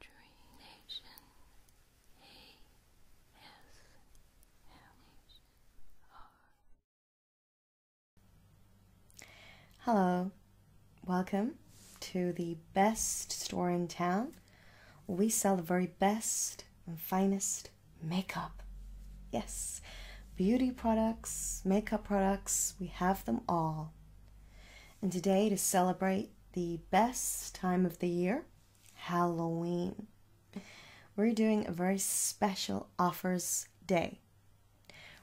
Dream Nation Hello, welcome to the best store in town. We sell the very best and finest makeup. Yes, beauty products, makeup products, we have them all. And today, to celebrate the best time of the year, Halloween, we're doing a very special offers day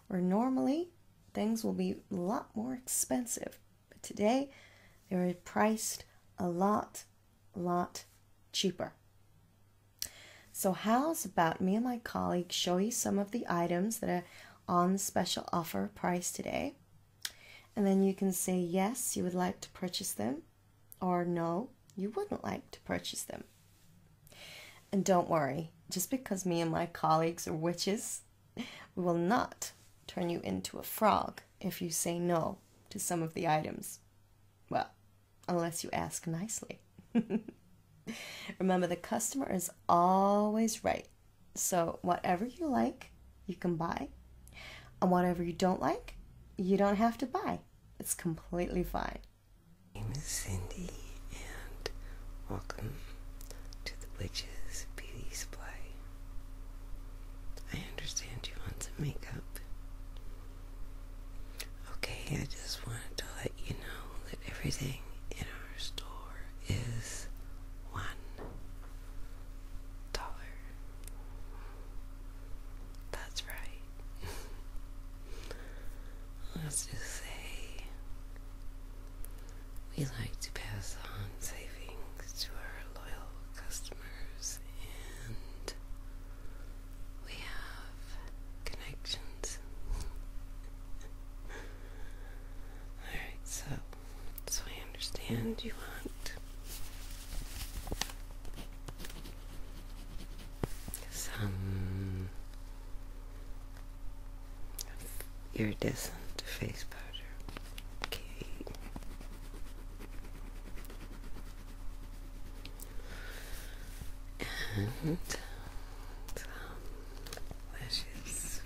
where normally things will be a lot more expensive. But today, they're priced a lot, lot cheaper. So, how's about me and my colleague show you some of the items that are on special offer price today. And then you can say yes, you would like to purchase them, or no, you wouldn't like to purchase them. And don't worry, just because me and my colleagues are witches, we will not turn you into a frog if you say no to some of the items. Well, unless you ask nicely. Remember, the customer is always right. So, whatever you like, you can buy. And whatever you don't like, you don't have to buy. It's completely fine. My name is Cindy, and welcome to the Witch's Beauty Supply. I understand you want some makeup. Okay, I just wanted to let you know everything in our store is one dollar. That's right. Let's just say we like to pass on savings to our loyal customers and we have connections. Alright, so so I understand you want some iridescent face powder. Okay. And some lashes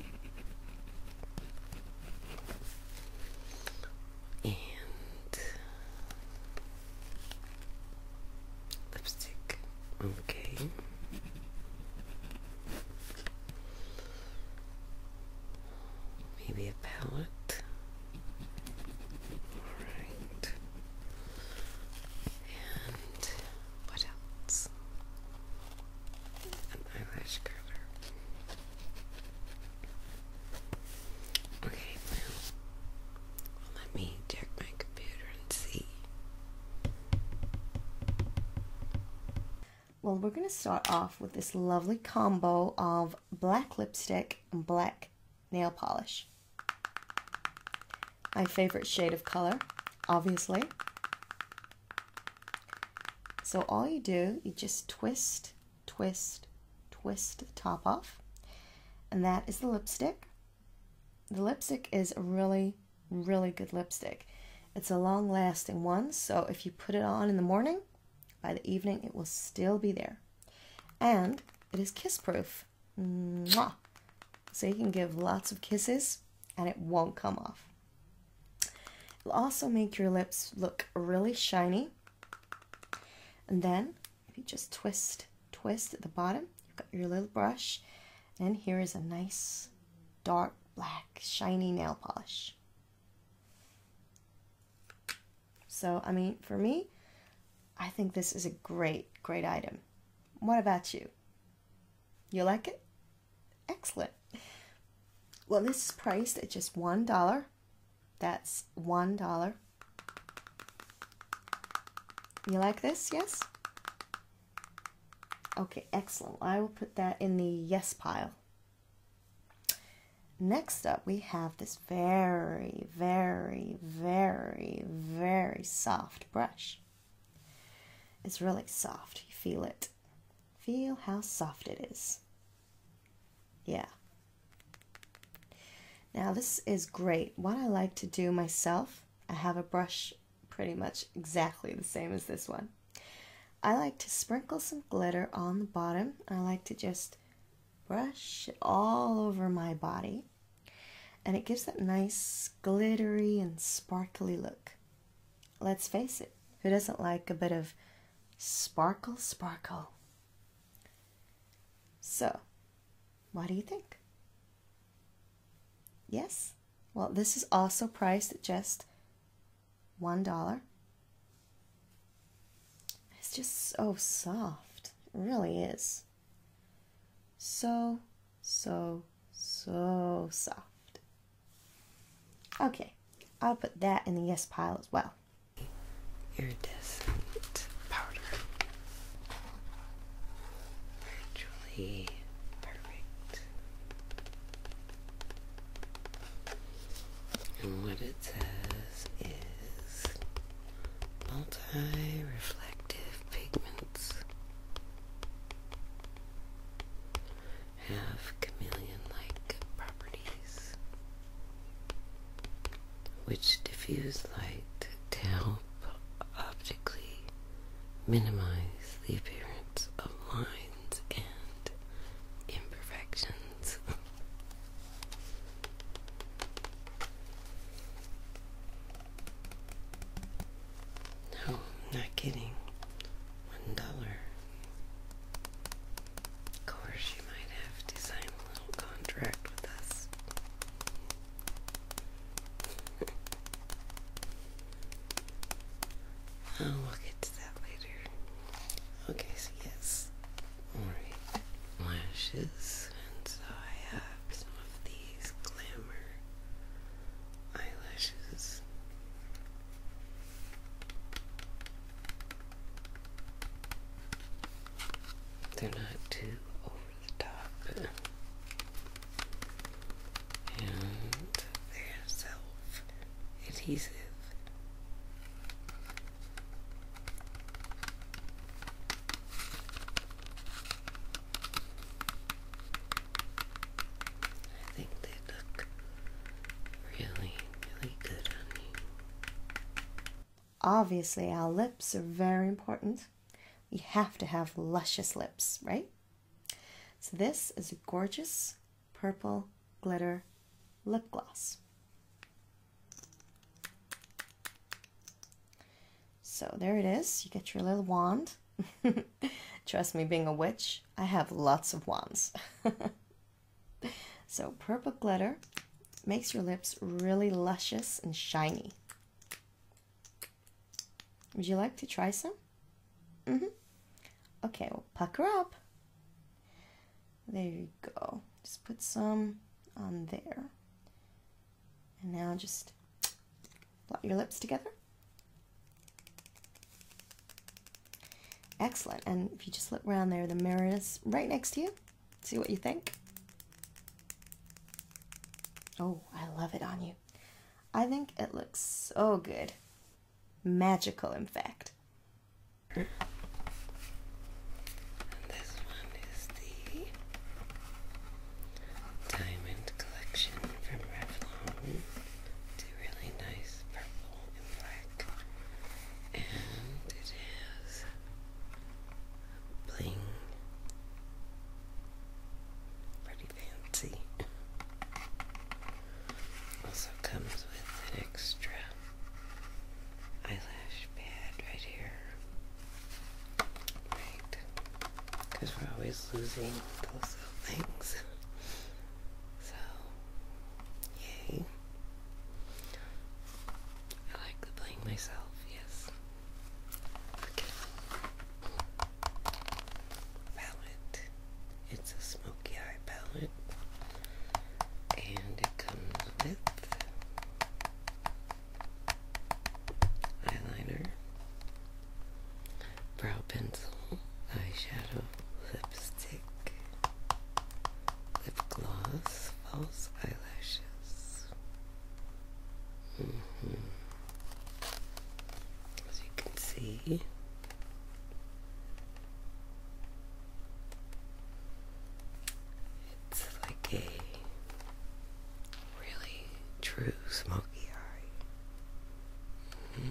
and lipstick. Okay. Maybe a palette. All right. And what else? an eyelash curler. Okay, let me check my computer and see. Well, we're going to start off with this lovely combo of black lipstick and black nail polish my favorite shade of color, obviously. So all you do, you just twist, twist, twist the top off. And that is the lipstick. The lipstick is a really, really good lipstick. It's a long lasting one, so if you put it on in the morning, by the evening it will still be there. And it is kiss proof. So you can give lots of kisses and it won't come off. It'll also make your lips look really shiny. And then if you just twist, twist at the bottom, you've got your little brush. And here is a nice dark black shiny nail polish. So, I mean, for me, I think this is a great, great item. What about you? You like it? Excellent. Well, this is priced at just $1. That's $1. You like this? Yes? Okay, excellent. I will put that in the yes pile. Next up, we have this very, very, very, very soft brush. It's really soft. You feel it. Feel how soft it is. Yeah. Now this is great. What I like to do myself, I have a brush pretty much exactly the same as this one. I like to sprinkle some glitter on the bottom. I like to just brush it all over my body and it gives that nice glittery and sparkly look. Let's face it, who doesn't like a bit of sparkle, sparkle? So, what do you think? Yes? Well, this is also priced at just $1. It's just so soft. It really is. So, so, so soft. Okay, I'll put that in the yes pile as well. Iridescent powder. Virtually perfect. And what it says is multi reflective pigments have chameleon-like properties which diffuse light to help optically minimize the appearance of lines and imperfections. No, not kidding. One dollar. Of course, you might have to sign a little contract with us. Oh, we'll get to that later. Okay, so yes. Alright, lashes. And so I have some of the glamour eyelashes. They're not too over the top. And they're self adhesive. I think they look really, really good on you. Obviously, our lips are very important. We have to have luscious lips, right? So, this is a gorgeous purple glitter lip gloss. So there it is. You get your little wand. Trust me, being a witch, I have lots of wands. so purple glitter makes your lips really luscious and shiny. Would you like to try some? Mm -hmm. Okay, well, pucker up. There you go. Just put some on there. And now just blot your lips together. Excellent. And if you just look around there, the mirror is right next to you. See what you think. Oh, I love it on you. I think it looks so good. Magical, in fact. this one is the Diamond Collection from Revlon. It's really nice purple and black. And it bling. Pretty fancy. Also comes with an extra eyelash pad right here. Right. Because we're always losing those little things. So, yay. I like to blame myself, yes. Palette. It's a smoky eye palette. And it comes with eyeliner, brow pencil, eyeshadow, lipstick, lip gloss, false eyelashes. Mm-hmm. As you can see, it's like a really true smoky eye. Mm-hmm.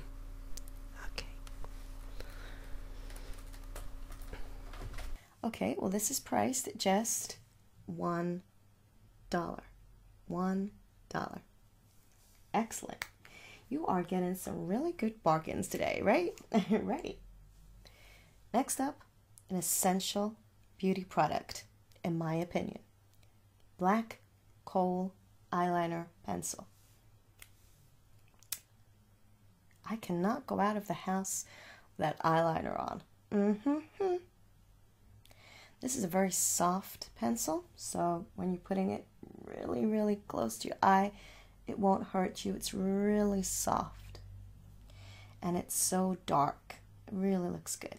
Okay. Okay, well, this is priced at just one dollar. One dollar. Excellent. You are getting some really good bargains today, right? right. Next up, an essential beauty product, in my opinion. Black coal eyeliner pencil. I cannot go out of the house with that eyeliner on. This is a very soft pencil, so when you're putting it really, really close to your eye, it won't hurt you. It's really soft. And it's so dark. It really looks good.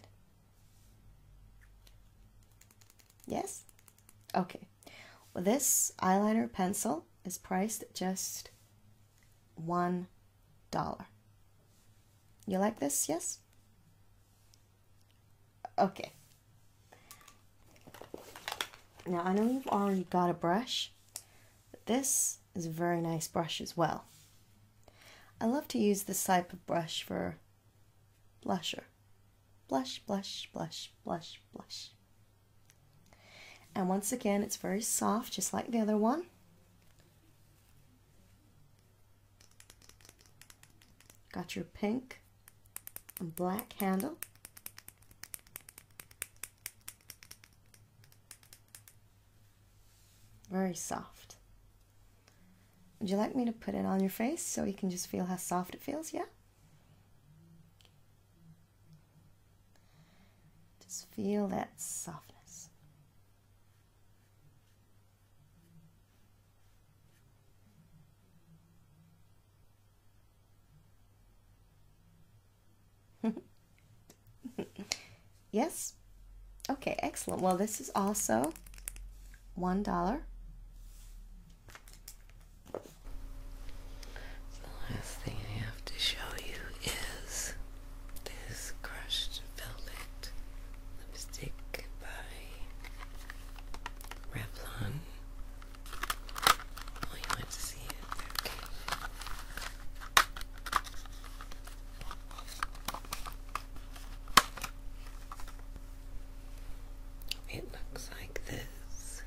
Yes? Okay. this eyeliner pencil is priced at just $1. You like this? Yes? Okay. Now, I know you've already got a brush, but this is a very nice brush as well. I love to use this type of brush for blusher. Blush, blush, blush, blush, blush. And once again, it's very soft, just like the other one. Got your pink and black handle. Very soft. Would you like me to put it on your face so you can just feel how soft it feels? Yeah? Just feel that softness. yes? Okay, excellent. Well, this is also one dollar. The last thing I have to show you is this crushed velvet lipstick by Revlon. Well, oh, you want to see it? It looks like this.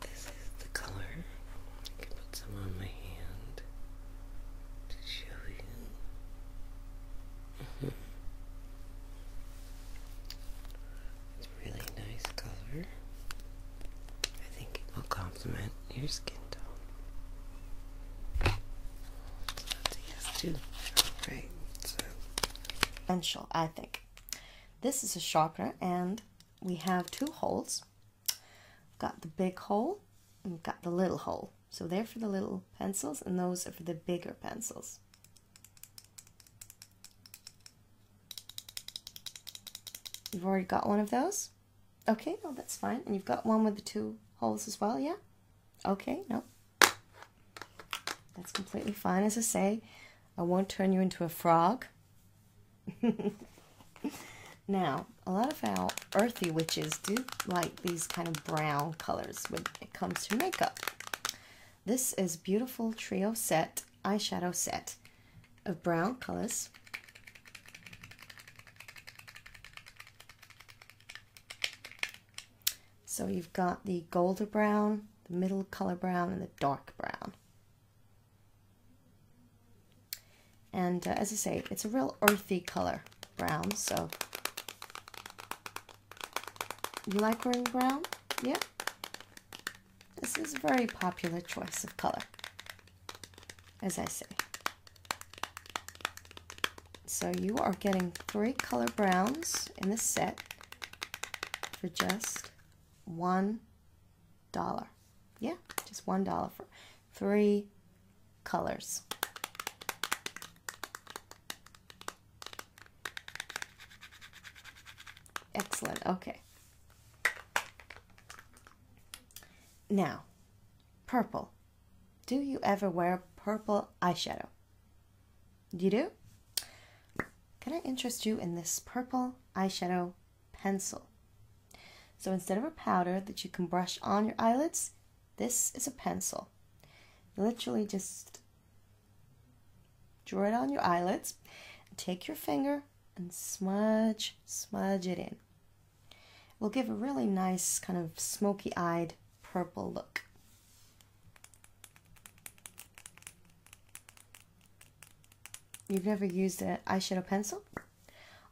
this is the color. I can put some on my hand to show you. It's a really nice color. I think it will complement your skin tone. yes too. Right. So. Essential, I think. This is a chakra, and we have two holes. got the big hole, got the little hole. So they're for the little pencils, and those are for the bigger pencils. You've already got one of those? Okay, well, that's fine. And you've got one with the two holes as well, yeah? Okay, no. That's completely fine. As I say, I won't turn you into a frog. now, a lot of our earthy witches do like these kind of brown colors when it comes to makeup. This is beautiful trio set, eyeshadow set of brown colors. So you've got the golden brown, the middle color brown, and the dark brown. And uh, as I say, it's a real earthy color brown, so you like wearing brown? Yeah. This is a very popular choice of color, as I say. So you are getting three color browns in the set for just one dollar. Yeah, just one dollar for three colors. Excellent. Okay. Now, purple. Do you ever wear purple eyeshadow? Do You do? Can I interest you in this purple eyeshadow pencil? So instead of a powder that you can brush on your eyelids, this is a pencil. literally just draw it on your eyelids, take your finger and smudge, smudge it in. It will give a really nice kind of smoky-eyed purple look. You've never used an eyeshadow pencil?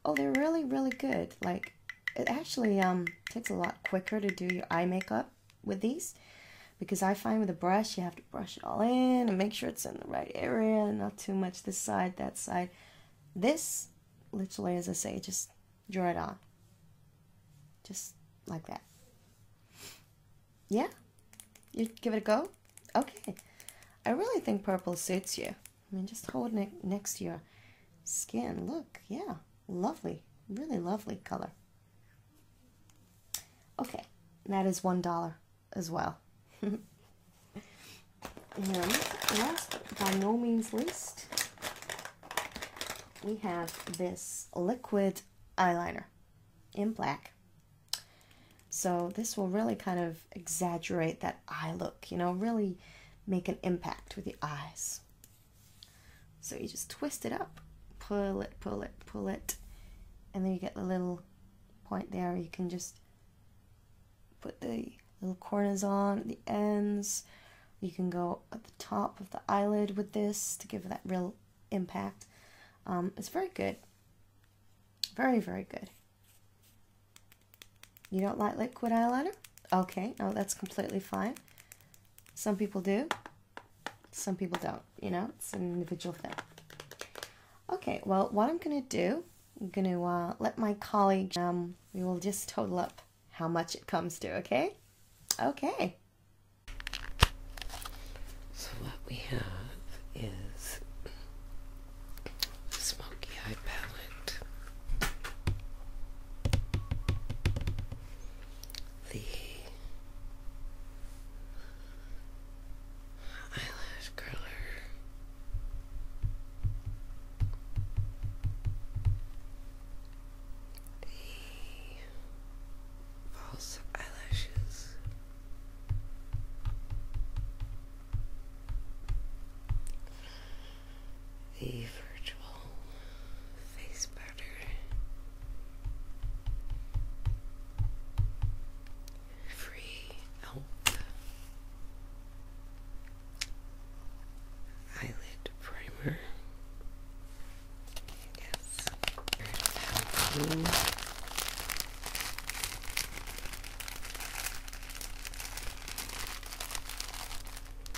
Oh, they're really, really good. Like, it actually um, takes a lot quicker to do your eye makeup with these because I find with a brush you have to brush it all in and make sure it's in the right area not too much this side that side this literally as I say just draw it on just like that yeah you give it a go okay I really think purple suits you I mean just hold it next to your skin look yeah lovely, really lovely color. Okay, that is $1 as well. and last by no means least, we have this liquid eyeliner in black. So this will really kind of exaggerate that eye look, you know, really make an impact with the eyes. So you just twist it up, pull it, pull it, pull it, and then you get the little point there you can just put the little corners on, the ends. You can go at the top of the eyelid with this to give that real impact. Um, it's very good. Very, very good. You don't like liquid eyeliner? Okay, no, that's completely fine. Some people do, some people don't, you know, it's an individual thing. Okay, well, what I'm gonna do, I'm gonna uh, let my colleague, um, we will just total up how much it comes to, okay? Okay. So what we have is smoky eye palette the eyelash curler. The false eyelashes, the virtual face powder free elf eyelid primer. Yes. Blue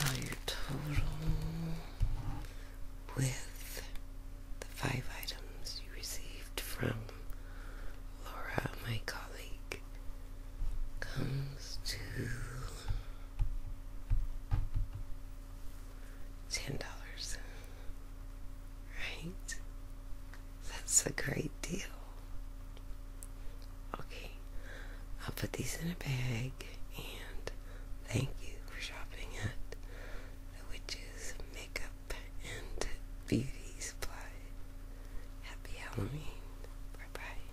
now your total with the five items you received from Laura, my colleague, comes to ten dollars. Right? That's a great deal. Okay, I'll put these in a bag and thank you for shopping at the Witch's Makeup and Beauty Supply. Happy Halloween. Bye bye.